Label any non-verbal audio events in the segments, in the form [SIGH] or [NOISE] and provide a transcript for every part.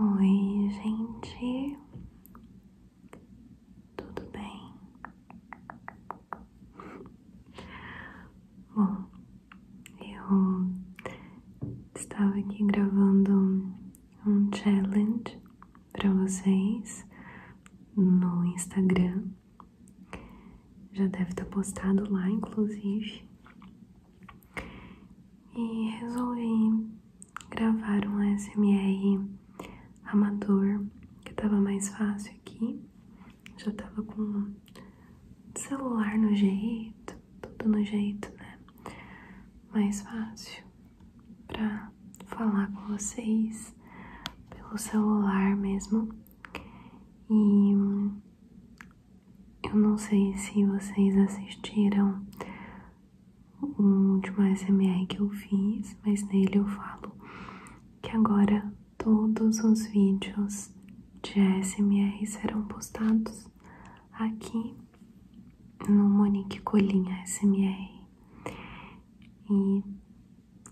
Oi, gente, tudo bem? Bom, eu estava aqui gravando um challenge para vocês no Instagram já deve estar postado lá, inclusive. E resolvi gravar um SMR amador, que tava mais fácil aqui. Já tava com o celular no jeito, tudo no jeito, né? Mais fácil pra falar com vocês pelo celular mesmo. E eu não sei se vocês assistiram o último SMR que eu fiz, mas nele eu falo que agora todos os vídeos de SMR serão postados aqui no Monique Colinha SMR. E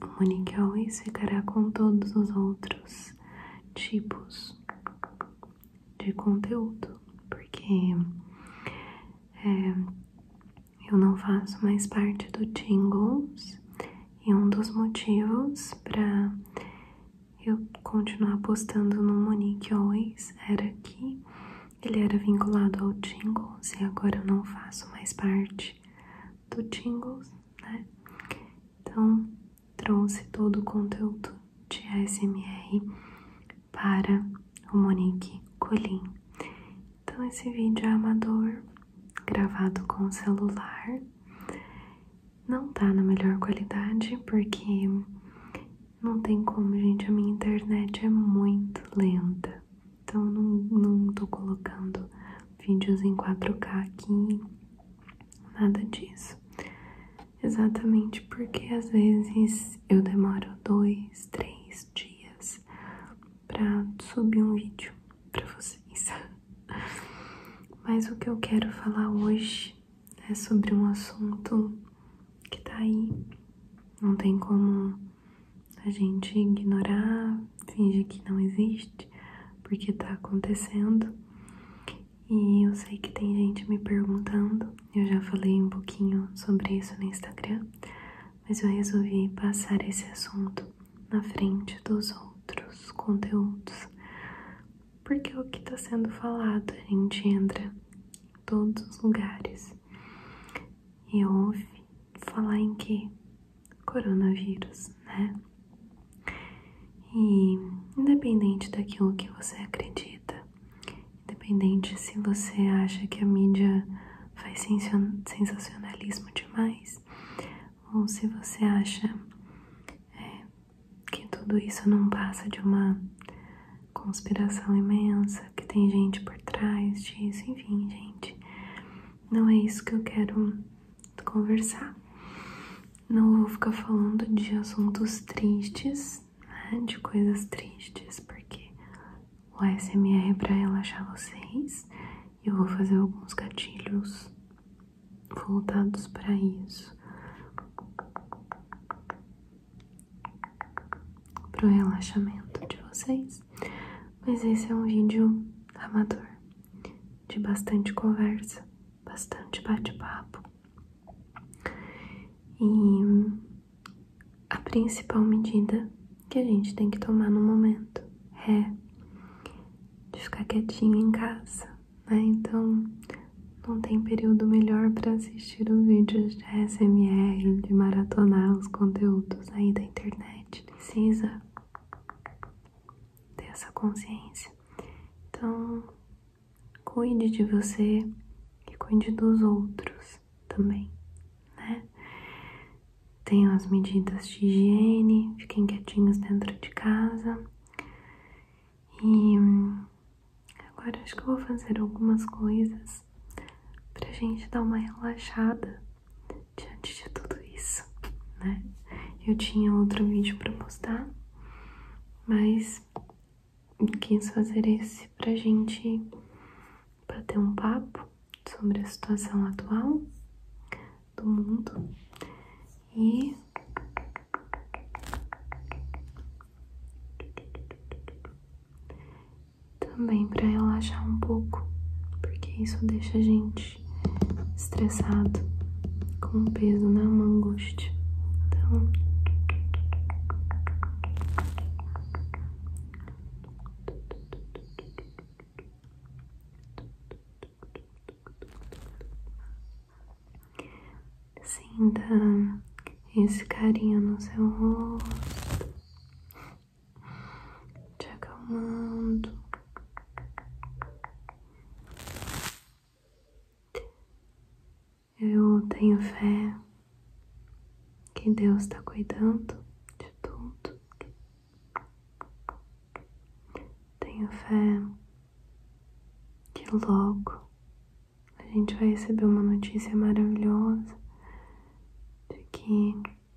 o Monique Always ficará com todos os outros tipos de conteúdo, porque é, eu não faço mais parte do Tingles e um dos motivos para eu continuar postando no Monique Always era que ele era vinculado ao Tingles e agora eu não faço mais parte do Tingles né? Então, trouxe todo o conteúdo de ASMR para o Monique Colim. Então, esse vídeo é amador, gravado com celular. Não tá na melhor qualidade, porque não tem como, gente. A minha internet é muito lenta. Então, não, não tô colocando vídeos em 4K aqui, nada disso. Exatamente porque às vezes eu demoro dois, três dias para subir um vídeo para vocês. [LAUGHS] Mas o que eu quero falar hoje é sobre um assunto que tá aí, não tem como a gente ignorar, fingir que não existe gente, porque está acontecendo. E eu sei que tem gente me perguntando, eu já falei um pouquinho sobre isso no Instagram, mas eu resolvi passar esse assunto na frente dos outros conteúdos. Porque é o que está sendo falado, a gente entra em todos os lugares e ouve falar em que? Coronavírus, né? E independente daquilo que você acredita, independente se você acha que a mídia faz sensacionalismo demais, ou se você acha é, que tudo isso não passa de uma conspiração imensa, que tem gente por trás disso, enfim, gente. Não é isso que eu quero conversar. Não vou ficar falando de assuntos tristes, né? De coisas tristes, porque o ASMR é pra relaxar vocês. Eu vou fazer alguns gatilhos voltados para isso. Pro relaxamento de vocês. Mas esse é um vídeo amador de bastante conversa, bastante bate-papo. E a principal medida que a gente tem que tomar no momento é de ficar quietinho em casa, né? Então não tem período melhor para assistir os vídeos de SMR, de maratonar os conteúdos aí da internet. Precisa ter essa consciência. Então, cuide de você e cuide dos outros também, né? Tenham as medidas de higiene, fiquem quietinhos dentro de casa. E agora acho que eu vou fazer algumas coisas pra gente dar uma relaxada diante de tudo isso, né? Eu tinha outro vídeo para postar, mas quis fazer esse pra gente bater um papo sobre a situação atual do mundo e também para relaxar um pouco, porque isso deixa a gente estressado, com peso na uma angústia. Então, Sinta esse carinha no seu rosto te acalmando, eu tenho fé que Deus está cuidando de tudo, tenho fé que logo a gente vai receber uma notícia maravilhosa de que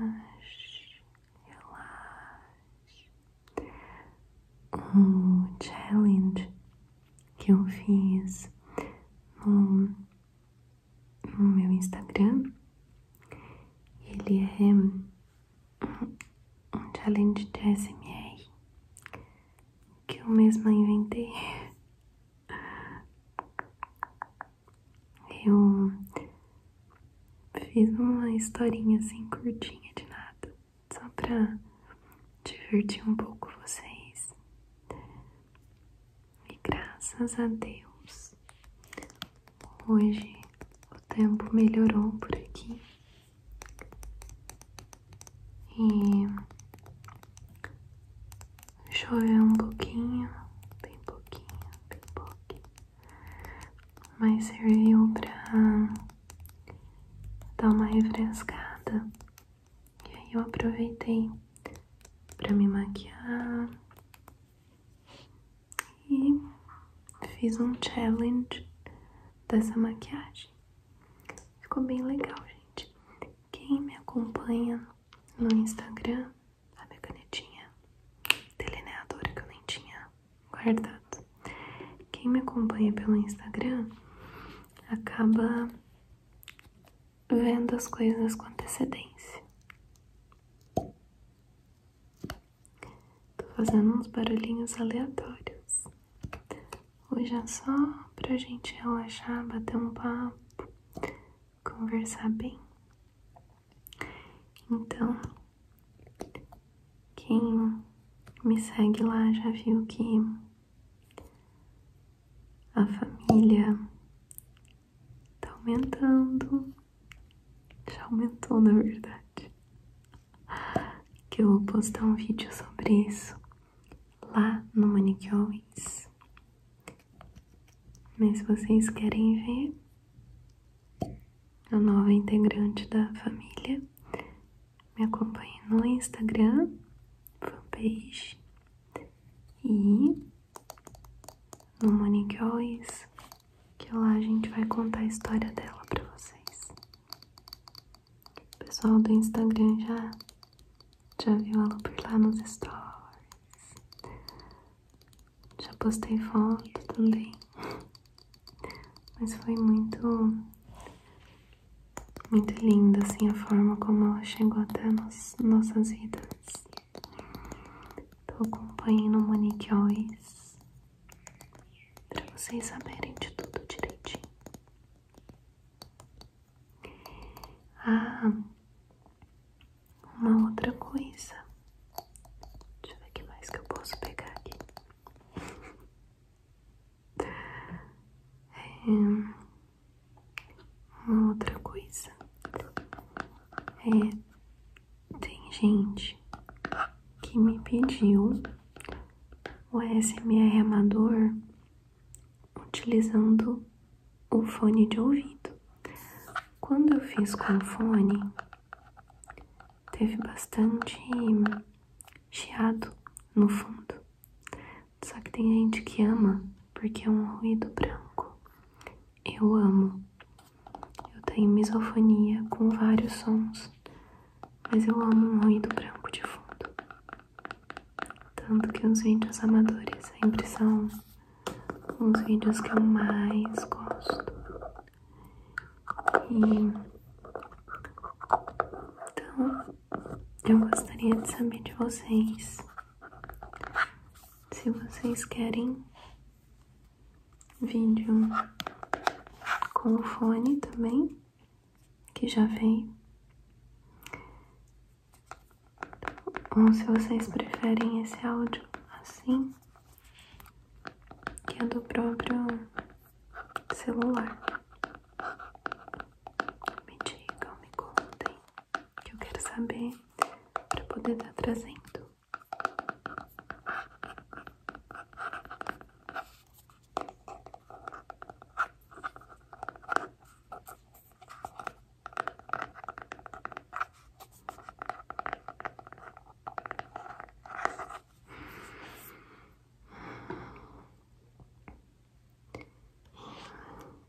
Relaxe, relaxe. O challenge que eu fiz no, no meu Instagram, ele é um challenge de ASMR que eu mesma inventei. [LAUGHS] Eu fiz uma historinha assim curtinha de nada, só pra divertir um pouco vocês. E graças a Deus, Hoje o tempo melhorou por aqui e choveu um pouquinho, bem pouquinho, bem pouquinho, mas serviu para dar uma refrescada. E aí eu aproveitei para me maquiar, e fiz um challenge dessa maquiagem. Ficou bem legal, gente. Quem me acompanha no Instagram, a minha canetinha delineadora que eu nem tinha guardado. Quem me acompanha pelo Instagram acaba vendo as coisas com antecedência. Tô fazendo uns barulhinhos aleatórios. Hoje é só pra gente relaxar, bater um papo, conversar bem. Então, quem me segue lá já viu que a família Tá aumentando. Já aumentou, na verdade. Que eu vou postar um vídeo sobre isso lá no Manic Always. Mas se vocês querem ver a nova integrante da família, me acompanhe no Instagram, fanpage e no Manic Always que lá a gente vai contar a história dela para vocês. O pessoal do Instagram já já viu ela por lá nos stories. Já postei foto também. Mas foi muito muito linda assim a forma como ela chegou até nos, nossas vidas. Tô acompanhando o Monique Ois pra vocês saberem de tudo direitinho. Ah, uma outra coisa. Deixa eu ver o que mais que eu posso pegar aqui. É, uma outra coisa é tem gente que me pediu o SMR amador utilizando o fone de ouvido. Quando eu fiz com o fone, teve bastante chiado no fundo. Só que tem gente que ama porque é um ruído branco eu amo. Eu tenho misofonia com vários sons, mas eu amo um ruído branco de fundo. Tanto que os vídeos amadores sempre são os vídeos que eu mais gosto. então eu gostaria de saber de vocês se vocês querem vídeo com o fone também, que já veio. Então, Ou se vocês preferem esse áudio assim, que é do próprio celular. Me digam, me contem, que eu quero saber para poder estar tá trazendo.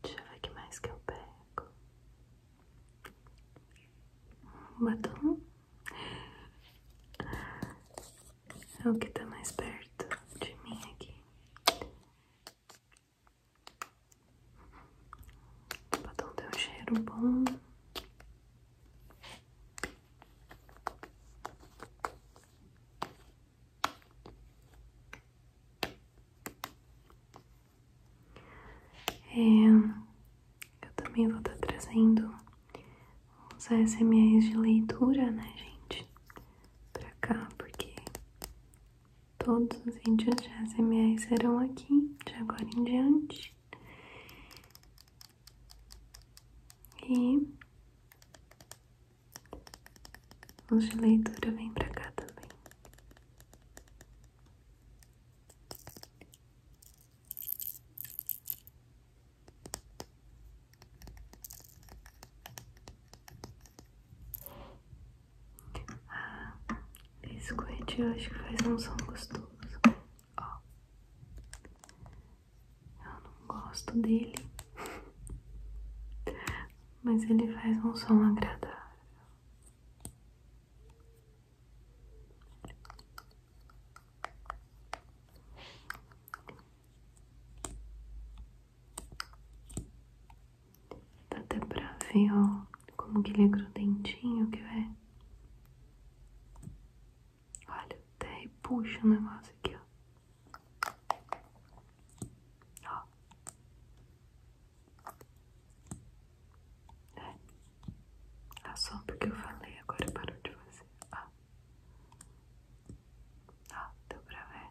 Deixa eu ver que mais que eu pego batom é o que tá mais perto de mim aqui. O batom tem um cheiro bom. É, eu também vou estar tá trazendo os SMS de leitura, né, gente? Pra cá, porque todos os vídeos de ASMR serão aqui, de agora em diante. E os de leitura vem pra cá também. Ah, esse corrente eu acho que faz um som gostoso. Ó, eu não gosto dele, [LAUGHS] mas ele faz um som agradável. Dá até pra ver, ó, como que ele é dentinho que é. Olha, até repuxa o negócio aqui, Ó. É. A só porque eu falei agora parou de fazer. Ó. Ah. Ó, ah, deu pra ver.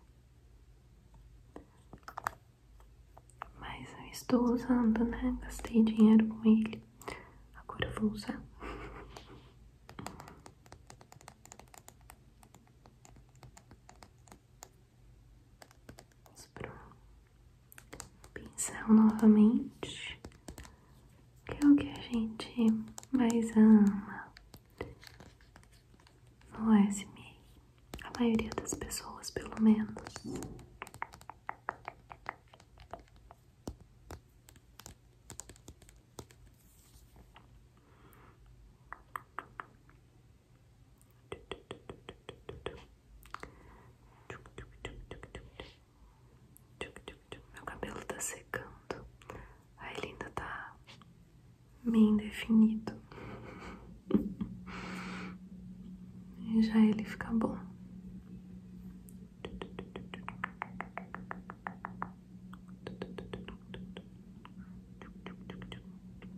Mas eu estou usando, né? Gastei dinheiro com ele. Agora vou usar. Vamos pro pincel novamente, que é o que a gente mais ama no SMA, a maioria das pessoas, pelo menos. Meu cabelo tá secando. Ai, ele ainda tá meio indefinido. E [LAUGHS] já ele fica bom.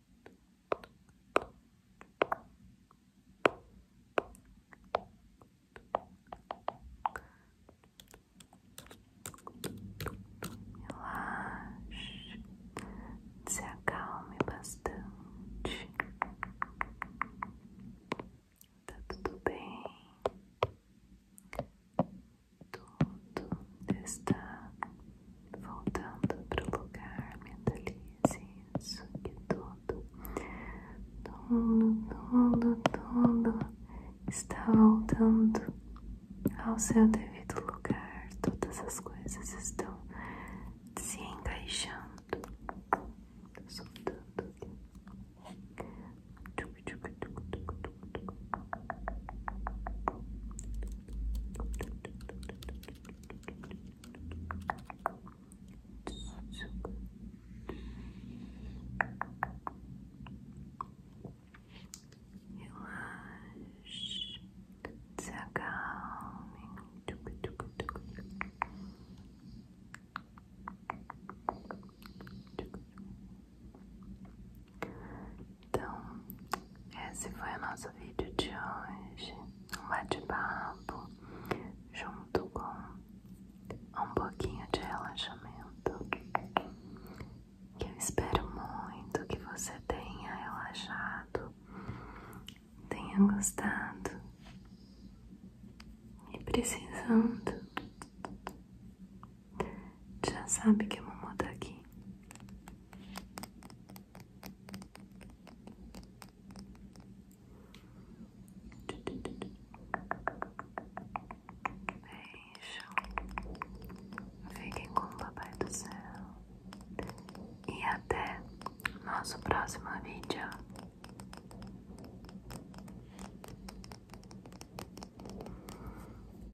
Relaxe, se acalme bastante. Tá tudo bem. Tudo está voltando para o lugar. Mentalize isso que tudo, tudo, tudo, tudo está voltando ao seu devido lugar. Todas as coisas estão se encaixando. Soltando aqui. so good. Relax. It's a calming. Então, esse foi o nosso vídeo de hoje. Um bate-papo junto com um pouquinho de relaxamento. Que eu espero muito que você tenha relaxado, tenha gostado e precisando. Já sabe que a mamãe tá aqui. Beijo. Fiquem com o papai do céu. E até nosso próximo vídeo.